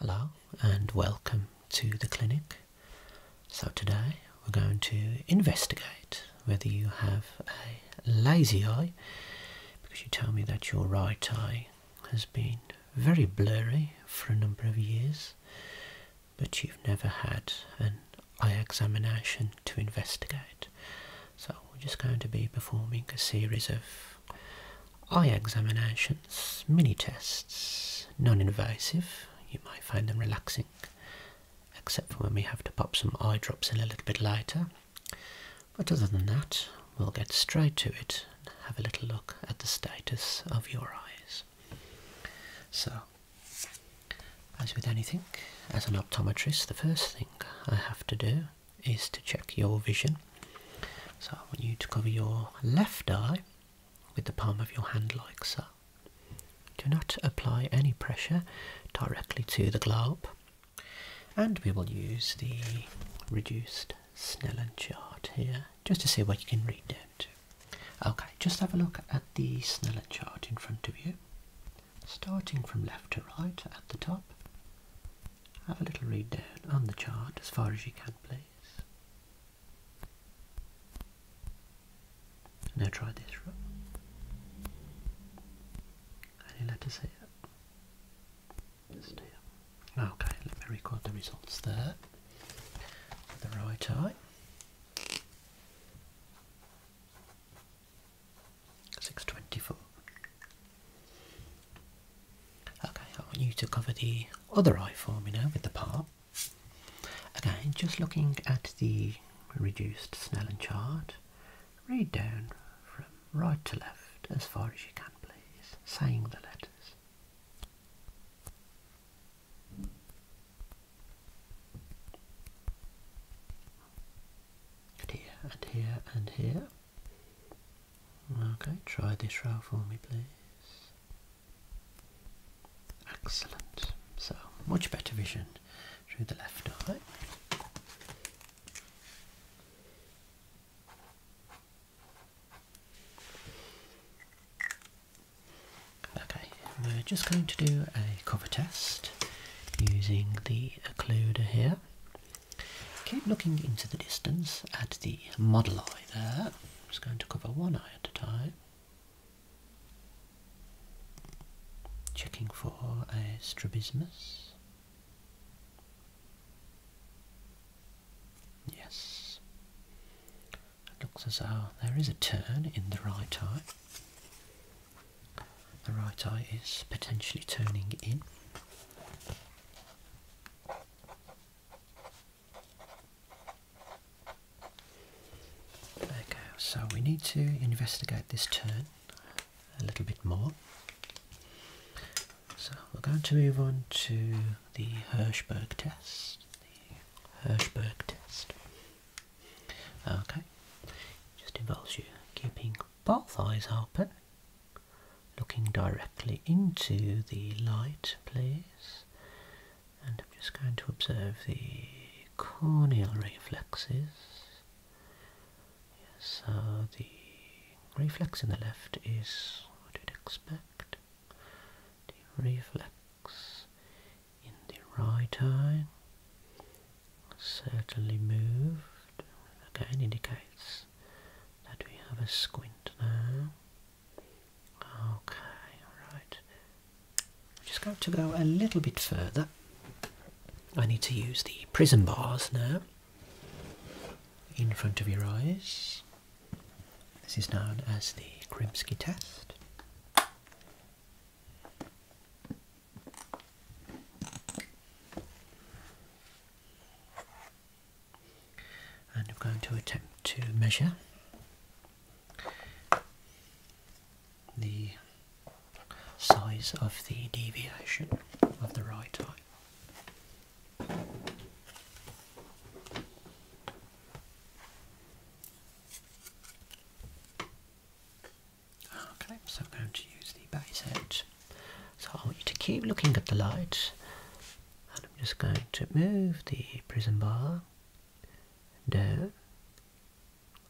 Hello and welcome to the clinic. So today we're going to investigate whether you have a lazy eye because you tell me that your right eye has been very blurry for a number of years but you've never had an eye examination to investigate. So we're just going to be performing a series of Eye examinations, mini tests, non invasive, you might find them relaxing, except when we have to pop some eye drops in a little bit later. But other than that, we'll get straight to it have a little look at the status of your eyes. So, as with anything, as an optometrist, the first thing I have to do is to check your vision so I want you to cover your left eye with the palm of your hand like so. Do not apply any pressure directly to the globe. And we will use the reduced Snellen chart here just to see what you can read down to. Okay, just have a look at the Snellen chart in front of you. Starting from left to right at the top, have a little read down on the chart as far as you can, please. Now try this route. Any letters here? Just here. Okay, let me record the results there. With the right eye. Six twenty four. Okay, I want you to cover the other eye for me now with the part. Okay, just looking at the reduced Snellen chart, read down from right to left as far as you can, please, saying the letters. And here and here and here. Okay, try this row for me, please. Excellent. So much better vision through the left eye. Okay, we're just going to do a cover test using the occluder here. Keep looking into the distance at the model eye there. I'm just going to cover one eye at a time. Checking for a strabismus. Yes. It looks as though there is a turn in the right eye. The right eye is potentially turning in. Okay, so we need to investigate this turn a little bit more. So we're going to move on to the Hirschberg test. The Hirschberg test. Okay, just involves you keeping both eyes open, looking directly into the light, please and I'm just going to observe the corneal reflexes. so the reflex in the left is what we would expect. The reflex in the right eye certainly moved, again indicates that we have a squint now. Okay, alright. I'm just going to go a little bit further. I need to use the prism bars now in front of your eyes. This is known as the Grimsky test and I'm going to attempt to measure the size of the deviation of the right eye. Okay, so I'm going to use the base out. So I want you to keep looking at the light I'm just going to move the prism bar down,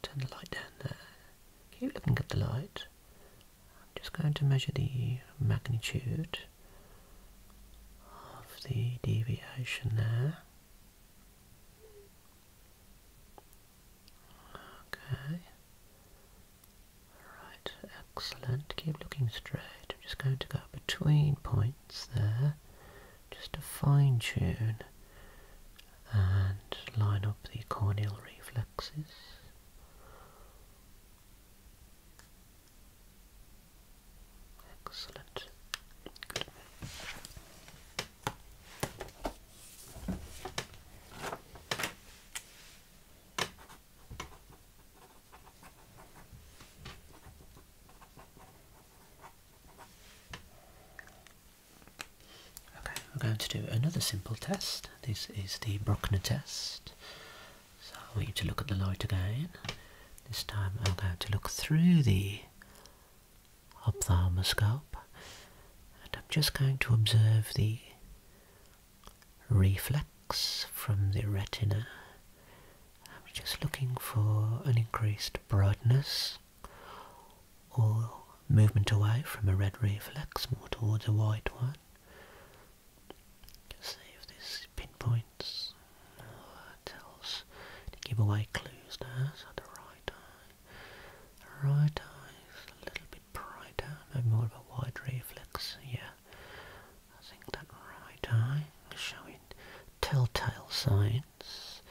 turn the light down there, keep looking at the light, I'm just going to measure the magnitude of the deviation there. Okay. Right, excellent. Keep looking straight. I'm just going to go between points points there just to fine tune and line up the corneal reflexes. Excellent. Okay, we're going to do another simple test. This is the Bruckner test. So I want you to look at the light again. This time I'm going to look through the ophthalmoscope and I'm just going to observe the reflex from the retina I'm just looking for an increased brightness or movement away from a red reflex more towards a white one. see if this pinpoints or tells to give away clues now. So the right eye, the right eye is a little bit brighter, maybe more of a wide reflex. Yeah, I think that right eye is showing telltale signs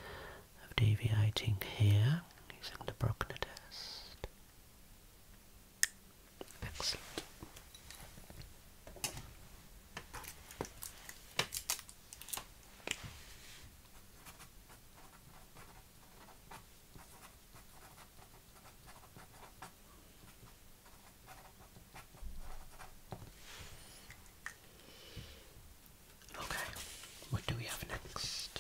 of deviating here using the Bruckner test. Excellent. Okay, what do we have next?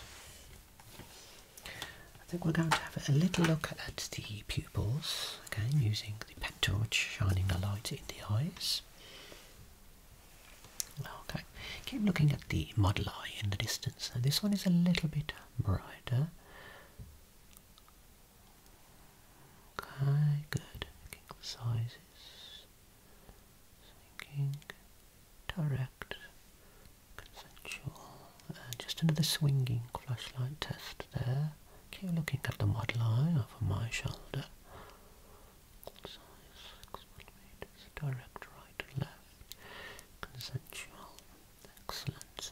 I think we're going to have a little look at the pupils again using the pet torch shining the light in the eyes. Okay, keep looking at the model eye in the distance. this one is a little bit brighter. Okay, good. Looking at sizes. Thinking. Direct. Consensual. Uh, just another swinging flashlight test there. Okay. looking at the model eye over my shoulder. Size 6 millimeters. Direct right and left. Consensual. Excellent.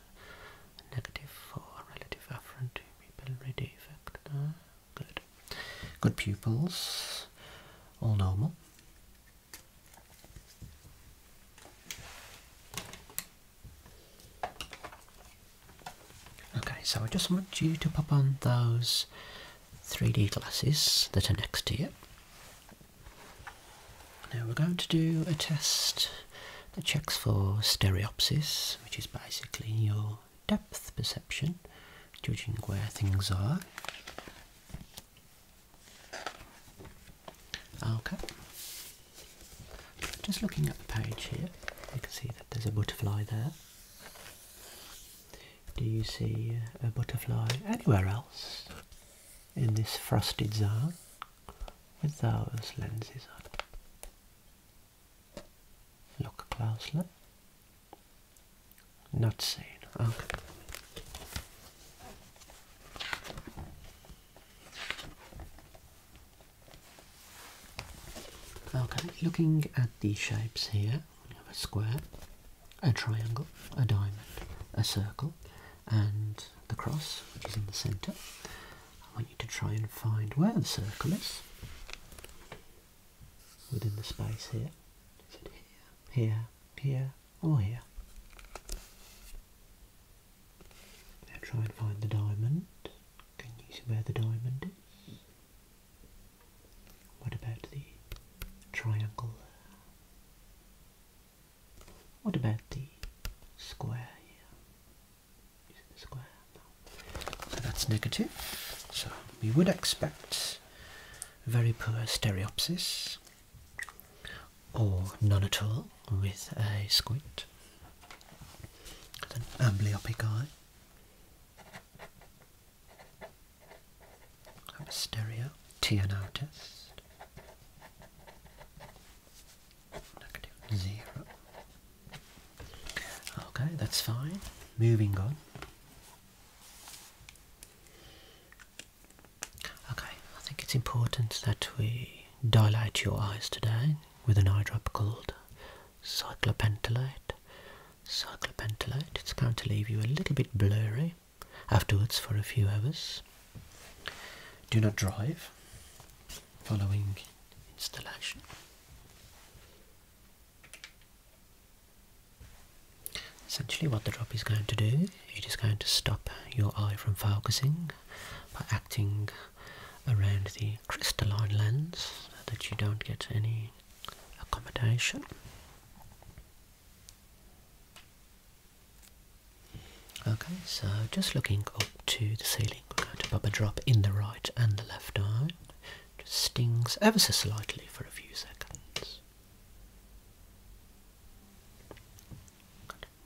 Negative 4, relative afferent to pupillary defect there. Good. Good pupils. All normal. Okay, so I just want you to pop on those 3D glasses that are next to you. Now we're going to do a test that checks for stereopsis, which is basically your depth perception, judging where things are. Okay. Just looking at the page here, you can see that there's a butterfly there. Do you see a butterfly anywhere else in this frosted zone with those lenses on? Look closely. Not seen. Okay, looking at the shapes here, we have a square, a triangle, a diamond, a circle, and the cross, which is in the centre. I want you to try and find where the circle is within the space here. Is it here, here, here, or here? Now try and find the diamond. Can you see where the diamond is? What about the triangle What about the square here? square. No. So that's negative. So we would expect very poor stereopsis or none at all with a squint. An amblyopic eye. Have a stereo TNO test. Negative zero. Okay, that's fine. Moving on. Okay, I think it's important that we dilate your eyes today with an eye drop called cyclopentolate. Cyclopentolate, it's going to leave you a little bit blurry afterwards for a few hours. Do not drive following installation. Essentially what the drop is going to do, it is going to stop your eye from focusing by acting around the crystalline lens so that you don't get any accommodation. Okay, so just looking up to the ceiling, we're going to pop a drop in the right and the left eye. Just stings ever so slightly for a few seconds.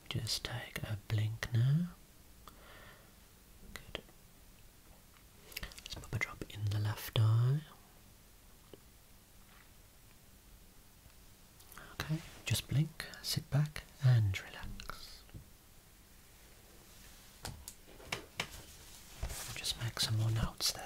Just take a blink now. Good. Let's pop a drop in the left eye. Okay, just blink, sit back and relax. Just make some more notes there.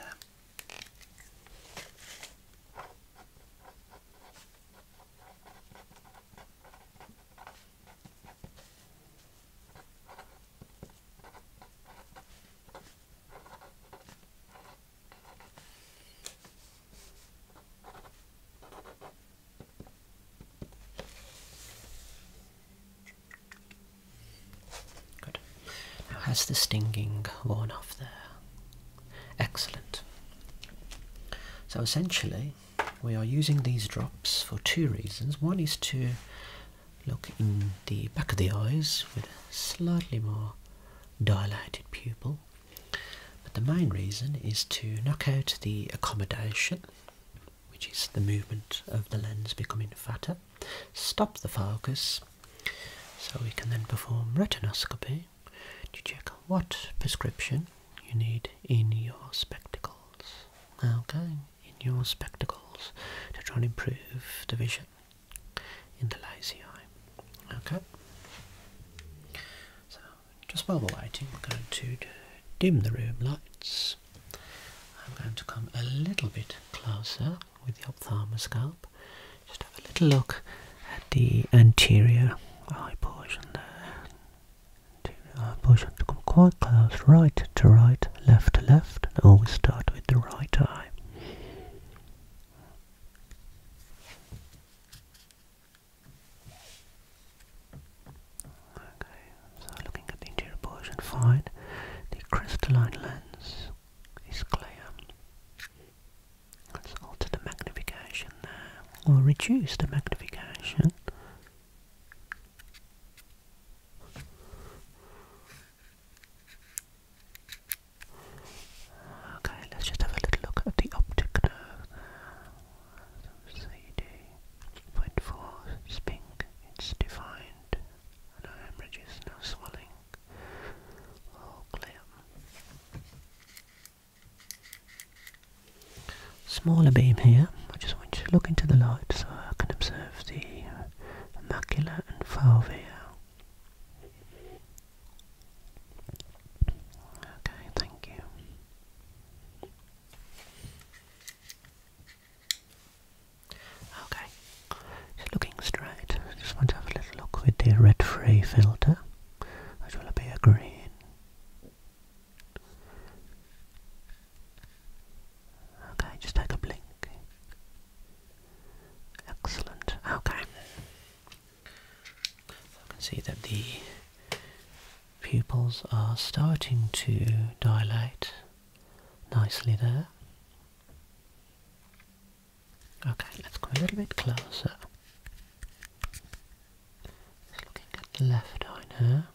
Good. Now has the stinging worn off there? Excellent. So essentially, we are using these drops for two reasons. One is to look in the back of the eyes with a slightly more dilated pupil. But the main reason is to knock out the accommodation which is the movement of the lens becoming fatter, stop the focus so we can then perform retinoscopy to check what prescription you need in your spectacles. Okay, in your spectacles to try and improve the vision in the lazy eye. Okay. So just while we're waiting, we're going to dim the room lights. I'm going to come a little bit closer with the ophthalmoscope. Just have a little look at the anterior eye portion there. eye portion to come quite close, right to right, left to left. And always start with the right eye. Okay, so looking at the interior portion, fine. The crystalline lens is clear. Let's alter the magnification there, or reduce the magnification. Okay, let's just have a little look at the optic nerve there. CD.4 is pink, it's defined. No hemorrhages, no swelling. All oh, clear. Smaller beam here. I just want you to look into the light so I can observe the uh, macula and fovea. Okay, thank you. Okay, just looking straight, I just want to have a little look with the red free filter, which will appear green. Okay, just take a blink. Excellent. Okay. So I can see that the pupils are starting to dilate nicely there. Okay, let's go a little bit closer. looking at the left eye now.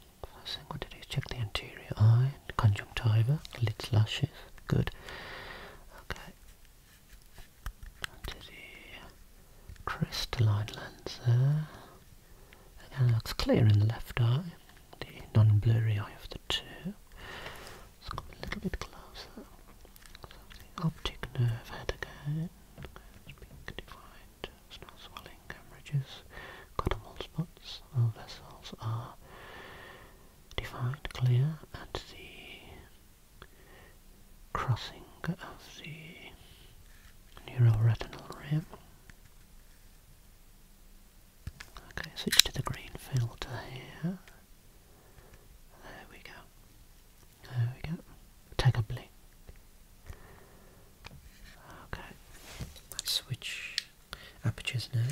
First thing we're going to do is check the anterior eye, conjunctiva, lids, lashes. Good. Okay. Onto the crystalline lens there. Again, looks clear in the left eye the non-blurry eye of the two. Let's come a little bit closer. So the optic nerve head again. it defined. no swelling hemorrhages. Cottonal spots. All vessels are defined, clear, and the crossing of the neuroretinal rim. Okay, switch to the green filter here. There we go. There we go. Take a blink. Okay, let's switch apertures now.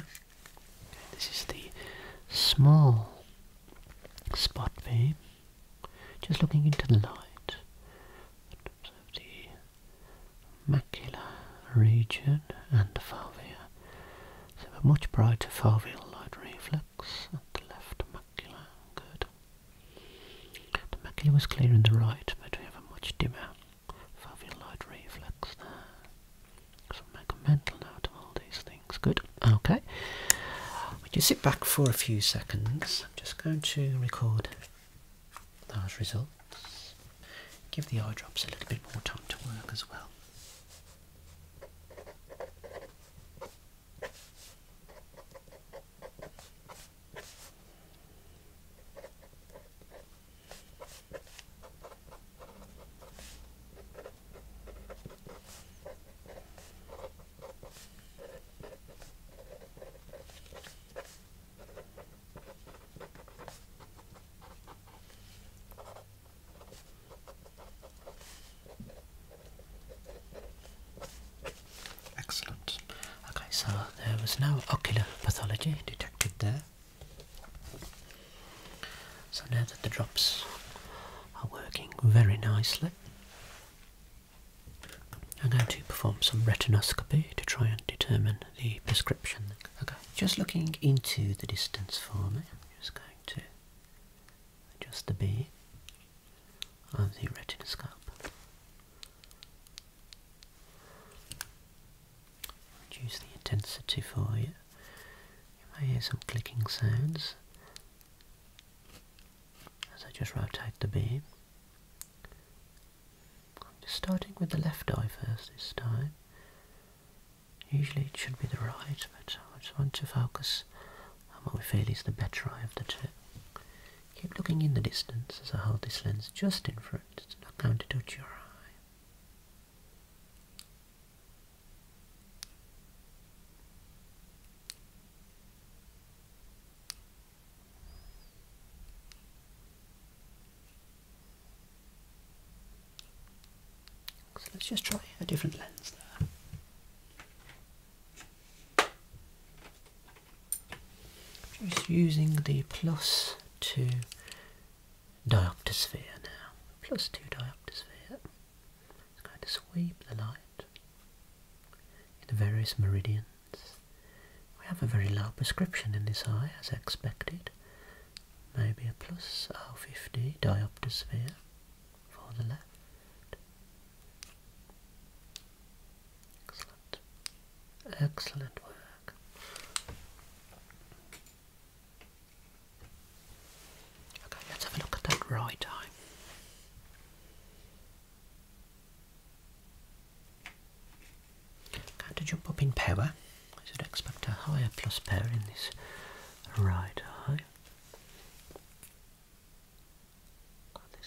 this is the small spot beam. Just looking into the light. the Macula, region and the fovea. So a much brighter foveal light reflex at the left macula. Good. The macula was clear in the right, but we have a much dimmer foveal light reflex there. So make a all these things. Good. Okay. We just sit back for a few seconds? I'm just going to record those results. Give the eye drops a little bit more time to work as well. Excellent. Okay, so there was no ocular pathology detected there. So now that the drops are working very nicely, I'm going to perform some retinoscopy to try and determine the prescription. Okay, just looking into the distance for me. I'm just going to adjust the beam of the retinoscope. Reduce the intensity for you. You may hear some clicking sounds as I just rotate the beam. I'm just starting with the left eye first this time. Usually it should be the right, but I just want to focus on what we feel is the better eye of the two. Keep looking in the distance as I hold this lens just in front. It's not going to touch your eye. So let's just try a different lens there. Just using the plus two diopter sphere now. Plus two diopter sphere. It's going to sweep the light in the various meridians. We have a very low prescription in this eye as expected maybe a plus R50 diopter sphere for the left. Excellent. Excellent work. Okay, let's have a look at that right eye. I'm jump up in power I should expect a higher plus pair in this right eye.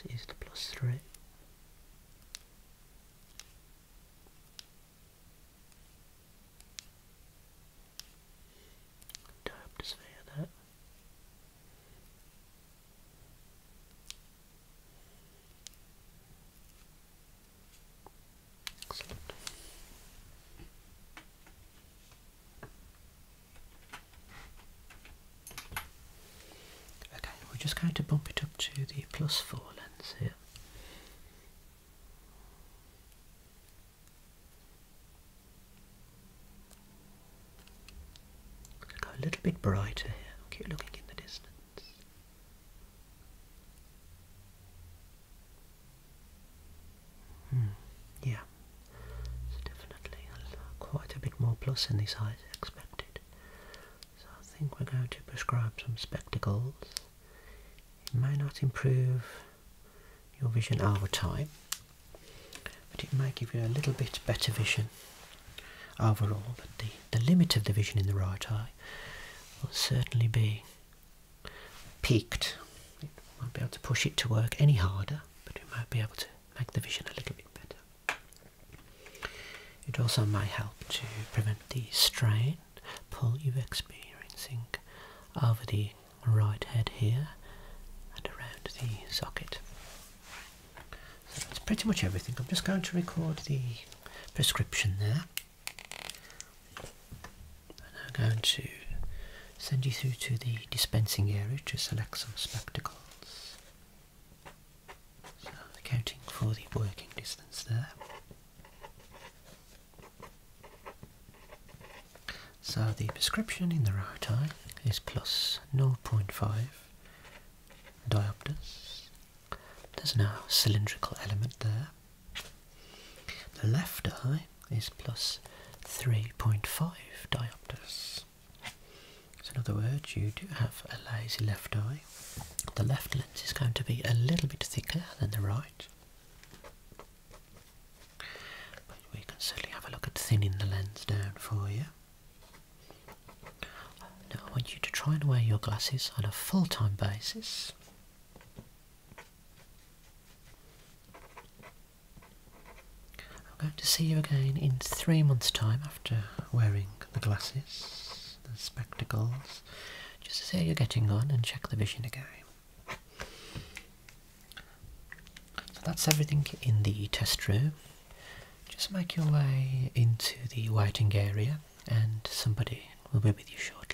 this is the plus three. Tap the sphere there. Okay, we're just going to bump it up to the plus four lens here. Go a little bit brighter here. Keep looking in the distance. Hmm. yeah, definitely quite a bit more plus in these eyes expected. So I think we're going to prescribe some spectacles. It may not improve your vision over time, but it may give you a little bit better vision overall. But the, the limit of the vision in the right eye will certainly be peaked. It won't be able to push it to work any harder, but we might be able to make the vision a little bit better. It also may help to prevent the strain pull you're experiencing over the right head here and around the socket. So that's pretty much everything. I'm just going to record the prescription there. I'm now going to send you through to the dispensing area to select some spectacles. So accounting for the working distance there. So the prescription in the right eye is plus 0.5 diopters. There's no cylindrical element there. The left eye is plus 3.5 diopters. So, in other words, you do have a lazy left eye. The left lens is going to be a little bit thicker than the right. But we can certainly have a look at thinning the lens down for you. Now, I want you to try and wear your glasses on a full time basis. I'm going to see you again in three months' time after wearing the glasses, the spectacles, just to see how you're getting on and check the vision again. So that's everything in the test room. Just make your way into the waiting area and somebody will be with you shortly.